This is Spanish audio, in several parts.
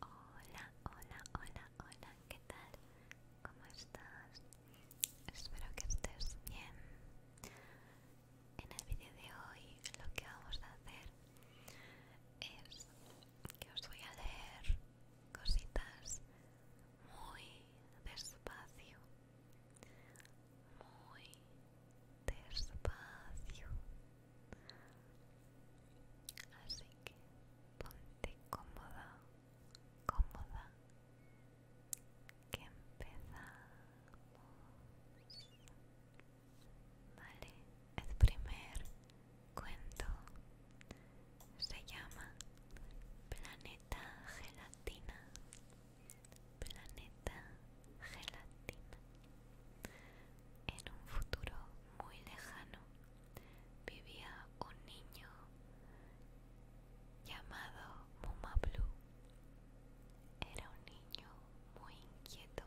Hola, hola, hola, hola, ¿qué tal? ¿Cómo estás? Espero que estés bien. En el vídeo de hoy lo que vamos a hacer es que os voy a leer cositas muy despacio. Muy despacio. Así que ponte cómoda, cómoda, que empezamos. Vale, el primer cuento se llama Planeta Gelatina. Planeta Gelatina. En un futuro muy lejano vivía un niño llamado Muma Blue. Era un niño muy inquieto.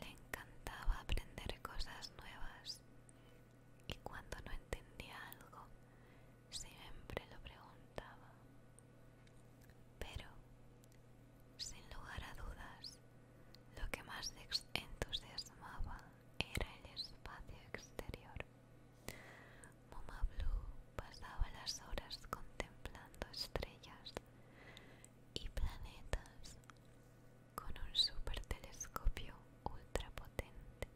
Le encantaba aprender cosas nuevas y cuando no entendía algo siempre lo preguntaba pero, sin lugar a dudas, lo que más entusiasmaba era el espacio exterior. Mama Blue pasaba las horas contemplando estrellas y planetas con un supertelescopio ultrapotente.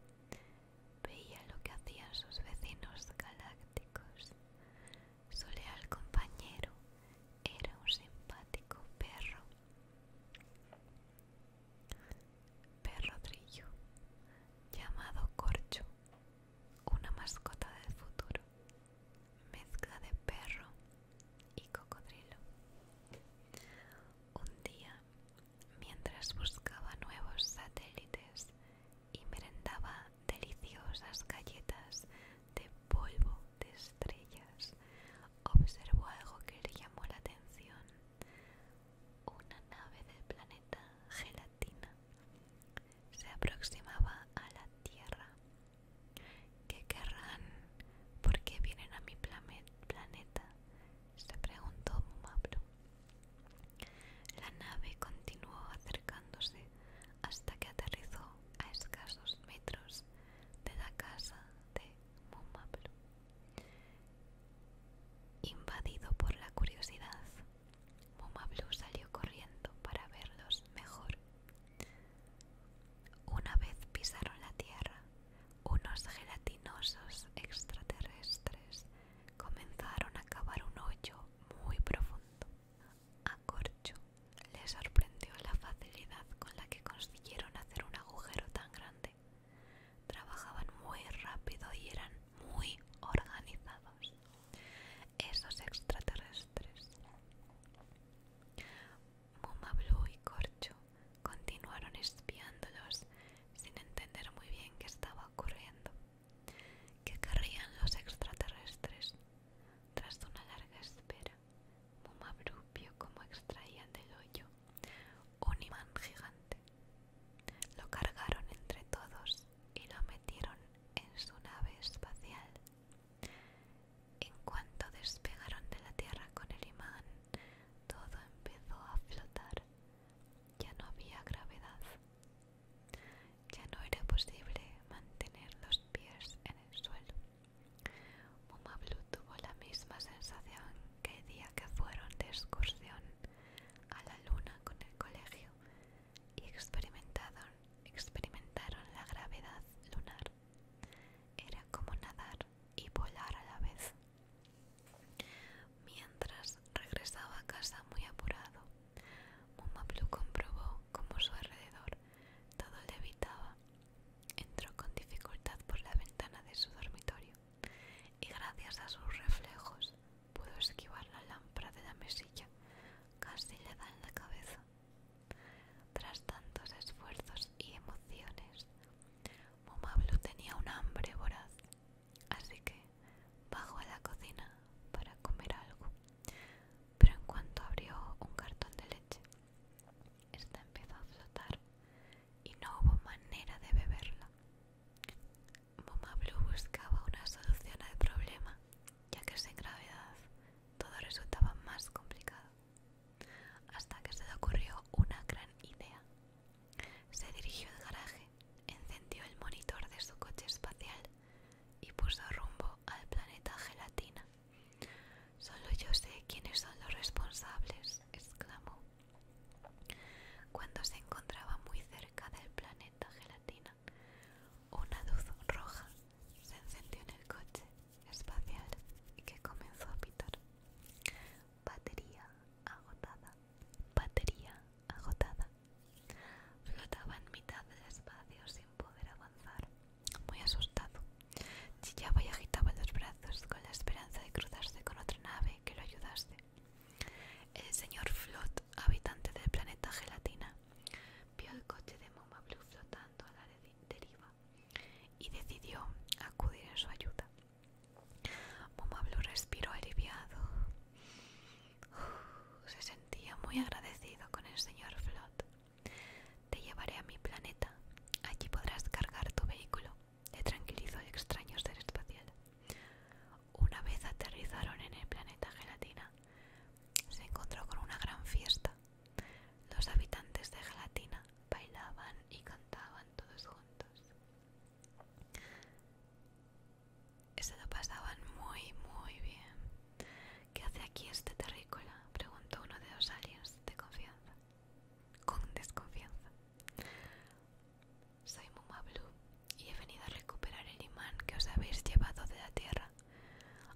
Veía lo que hacían sus vecinos galácticos su leal compañero era un simpático perro. Perro trillo, llamado Corcho, una mascota del futuro, mezcla de perro y cocodrilo. Un día, mientras buscaba nuevos satélites y merendaba deliciosas galletas de polvo de estrellas, observó algo que le llamó la atención. Una nave del planeta Gelatina se aproximaba a la Tierra. ¿Qué querrán? ¿Por qué vienen a mi planeta? se preguntó Mabro La nave continuó acercándose hasta que aterrizó a escasos metros de la casa de Mumablue. Invadido por la curiosidad, Mumablue salió corriendo para verlos mejor. Una vez pisaron la tierra, unos gelatinosos extraterrestres comenzaron a cavar un hoyo muy profundo a Corcho le sorprendió la facilidad con la que consiguieron hacer un agujero tan grande. Trabajaban muy rápido y eran muy organizados. Esos extraterrestres. Muma y Corcho continuaron espiándolos sin entender muy bien qué estaba ocurriendo. ¿Qué querrían los extraterrestres? Tras una larga espera, Mumabrú vio como extraían del hoyo un imán gigante. Lo cargaron entre todos y lo metieron en su nave espacial. En cuanto despegaron de la Tierra con el imán, todo empezó a flotar. Ya no había gravedad. Ya no era posible mantener los pies en el suelo. Mumablu tuvo la misma sensación que el día que fueron de excursión a la luna con el colegio y experimentaron, experimentaron la gravedad lunar. Era como nadar y volar a la vez. Mientras regresaba a casa muy apurado, Momablu comprobó cómo su alrededor todo le evitaba Entró con dificultad por la ventana de su dormitorio y gracias a sus reflejos pudo esquivar la lámpara de la mesilla. Casi le da en la cabeza. Tras tantos esfuerzos y emociones, Momablu tenía un hambre voraz así que bajó a la cocina para comer algo, pero en cuanto abrió un cartón de leche, esta empezó a flotar y no hubo manera de beberla. Mamá Blue buscaba una solución al problema, ya que sin gravedad todo resultaba más complicado, hasta que se le ocurrió una gran idea. Se dirigió al garaje, encendió el monitor de su coche espacial y puso rumbo al planeta Gelatina. Solo yo sé quiénes son los responsables, exclamó. Cuando se encontraba muy cerca del planeta Gelatina, una luz roja se encendió en el coche espacial y que comenzó a pitar batería agotada, batería agotada. Flotaba en mitad del espacio sin poder avanzar, muy asustado. Chillaba y agitaba los brazos con la esperanza de cruzarse con otra nave que lo ayudase. El señor Flot, habitante del planeta Gelatina, vio el coche de Moma Blue flotando a la deriva y decidió acudir en su ayuda. Mumablu respiró aliviado. se sentía muy agradecido con el señor Flot. Te llevaré a mi planeta. Allí podrás cargar tu vehículo. Te tranquilizó el extraño ser espacial. Una vez aterrizaron en el planeta Gelatina, se encontró con una gran fiesta. Los habitantes de Gelatina bailaban y cantaban todos juntos. Eso lo pasaban muy, muy bien. ¿Qué hace aquí este terrícola? Preguntó uno de los aliens de confianza. Con desconfianza. Soy Mumablu y he venido a recuperar el imán que os habéis llevado de la Tierra.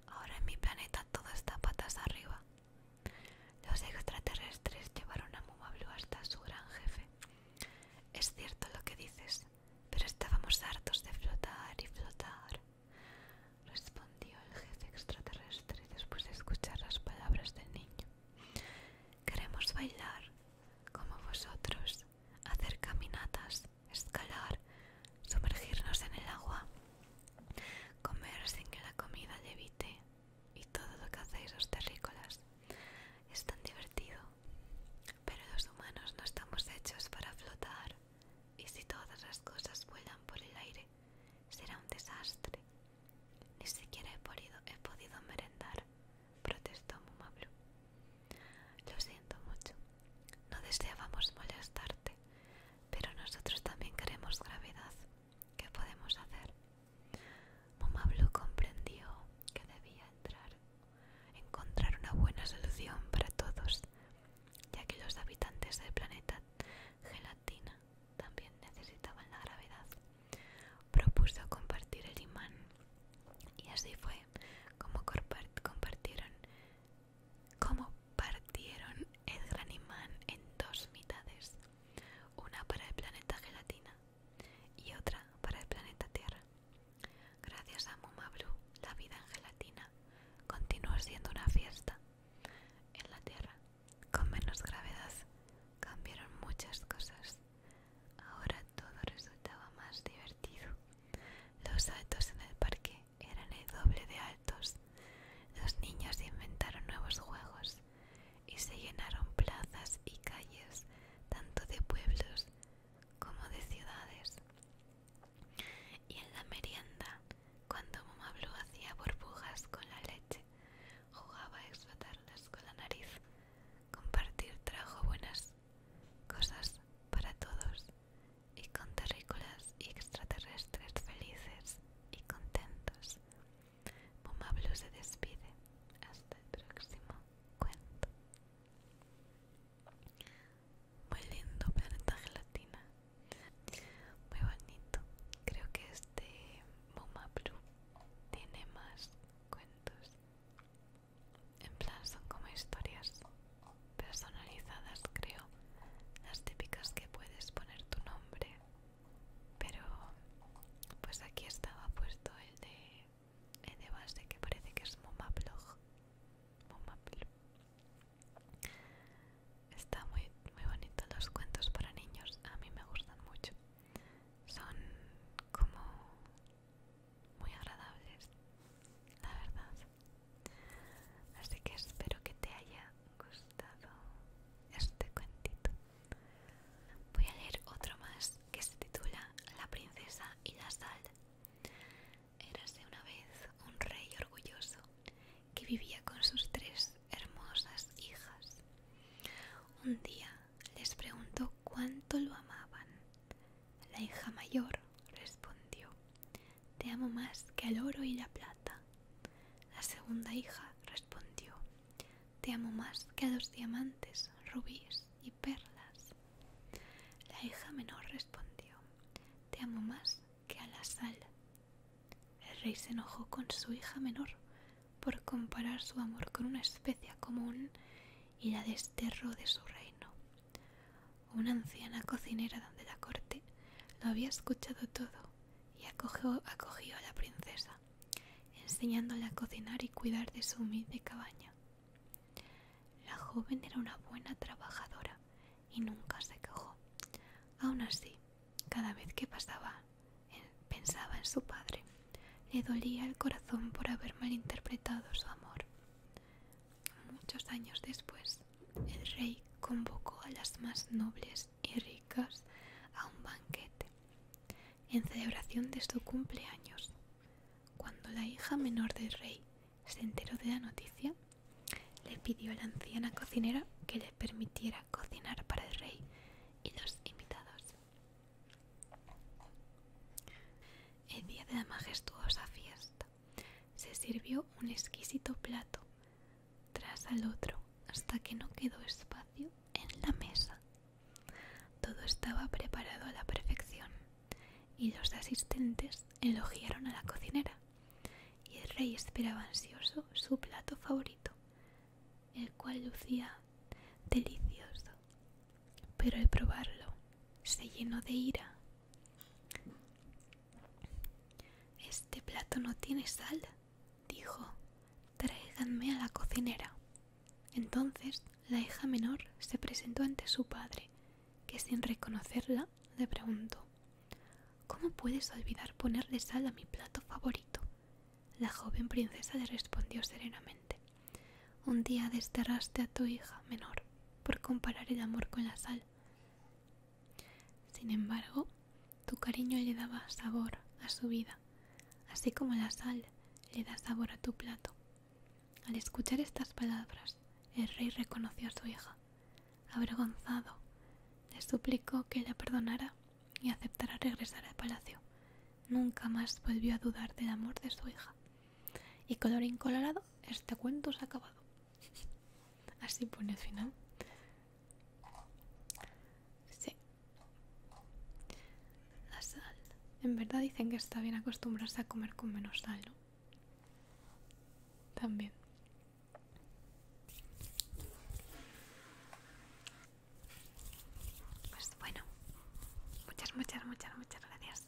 Ahora en mi planeta todo está patas arriba. Los extraterrestres llevaron a Mumablu hasta su gran jefe, es cierto lo que dices, pero estábamos hartos de flotar y flotar, respondió el jefe extraterrestre después de escuchar las palabras del niño. Queremos bailar, como vosotros, hacer caminatas, escalar, sumergirnos en el agua, comer sin que la comida levite, y todo lo que hacéis los terrícolas es tan divertido. Pero los humanos no estamos hechos para flotar y si todas las cosas vuelan por el aire será un desastre. Ni siquiera he podido, he podido merendar, protestó Mumablu. Lo siento mucho, no deseábamos molestarte, pero nosotros también queremos gravedad. ¿Qué podemos hacer? Momablu comprendió que debía entrar, encontrar una buena solución para todos, ya que los habitantes del planeta Gelatina también necesitaban la gravedad. Propuso compartir el imán y así fue como compartieron como partieron el gran imán en dos mitades una para el planeta Gelatina y otra para el planeta Tierra. Gracias a Muma Blue, la vida en gelatina continúa siendo una fiesta. En la Tierra, con menos gravedad, cambiaron muchas cosas. Ahora todo resultaba más divertido. Los saltos en el parque eran el doble de altos. Los niños inventaron nuevos juegos y se llenaron plazas y calles tanto de pueblos como de ciudades. Y en la merienda, cuando Mamá hacía burbujas con la leche, jugaba a explotarlas con la nariz. Compartir trajo buenas cosas para todos y con terrícolas y extraterrestres felices y contentos. Puma Blue se despide. Hasta el próximo cuento. Muy lindo planeta gelatina. Muy bonito. Creo que este Puma Blue tiene más cuentos. En plan son como historias personalizadas creo. Las típicas que puedes poner tu nombre pero pues aquí estaba puesto el de, el de base que parece que es Momaplog Está muy, muy bonito los cuentos para niños, a mí me gustan mucho. Son como muy agradables, la verdad. Así que espero que te haya ha gustado este cuentito. Voy a leer otro más que se titula La princesa y la sal. Érase una vez un rey orgulloso que vivía con sus tres hermosas hijas. Un día les preguntó cuánto lo amaban. La hija mayor respondió, Te amo más que al oro y la plata, la segunda hija respondió Te amo más que a los diamantes, rubíes y perlas. La hija menor respondió Te amo más que a la sal. El rey se enojó con su hija menor por comparar su amor con una especia común y la desterró de su reino. Una anciana cocinera donde la corte lo había escuchado todo y acogió, a la princesa, enseñándola a cocinar y cuidar de su humilde cabaña. La joven era una buena trabajadora y nunca se quejó. Aun así, cada vez que pasaba, pensaba en su padre, le dolía el corazón por haber malinterpretado su amor. Muchos años después, el rey convocó a las más nobles y ricas a un banquete en celebración de su cumpleaños. Cuando la hija menor del rey se enteró de la noticia, le pidió a la anciana cocinera que le permitiera cocinar para el rey y los invitados. El día de la majestuosa fiesta, se sirvió un exquisito plato tras al otro hasta que no quedó espacio en la mesa. Todo estaba preparado a la perfección y los asistentes elogiaron a la cocinera y el rey esperaba ansioso su plato favorito, el cual lucía delicioso. Pero al probarlo se llenó de ira este plato no tiene sal, dijo. Tráiganme a la cocinera. Entonces la hija menor se presentó ante su padre, que sin reconocerla le preguntó ¿Cómo puedes olvidar ponerle sal a mi plato favorito? La joven princesa le respondió serenamente Un día desterraste a tu hija menor por comparar el amor con la sal. Sin embargo, tu cariño le daba sabor a su vida, así como la sal le da sabor a tu plato. Al escuchar estas palabras, el rey reconoció a su hija. Avergonzado, le suplicó que la perdonara y aceptara regresar al palacio. Nunca más volvió a dudar del amor de su hija. Y color incolorado, este cuento se ha acabado. Así pone al final. Sí. La sal. En verdad dicen que está bien acostumbrarse a comer con menos sal, ¿no? También. Pues bueno, muchas, muchas, muchas, muchas gracias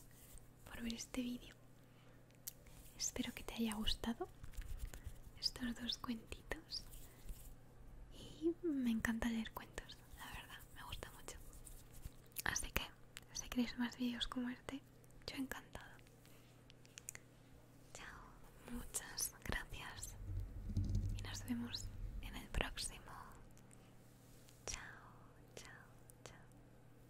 por ver este vídeo. Espero que te haya gustado estos dos cuentitos. Y me encanta leer cuentos, la verdad, me gusta mucho. Así que, si queréis más vídeos como este, yo encantado. Chao, muchas gracias. Y nos vemos en el próximo. Chao, chao, chao.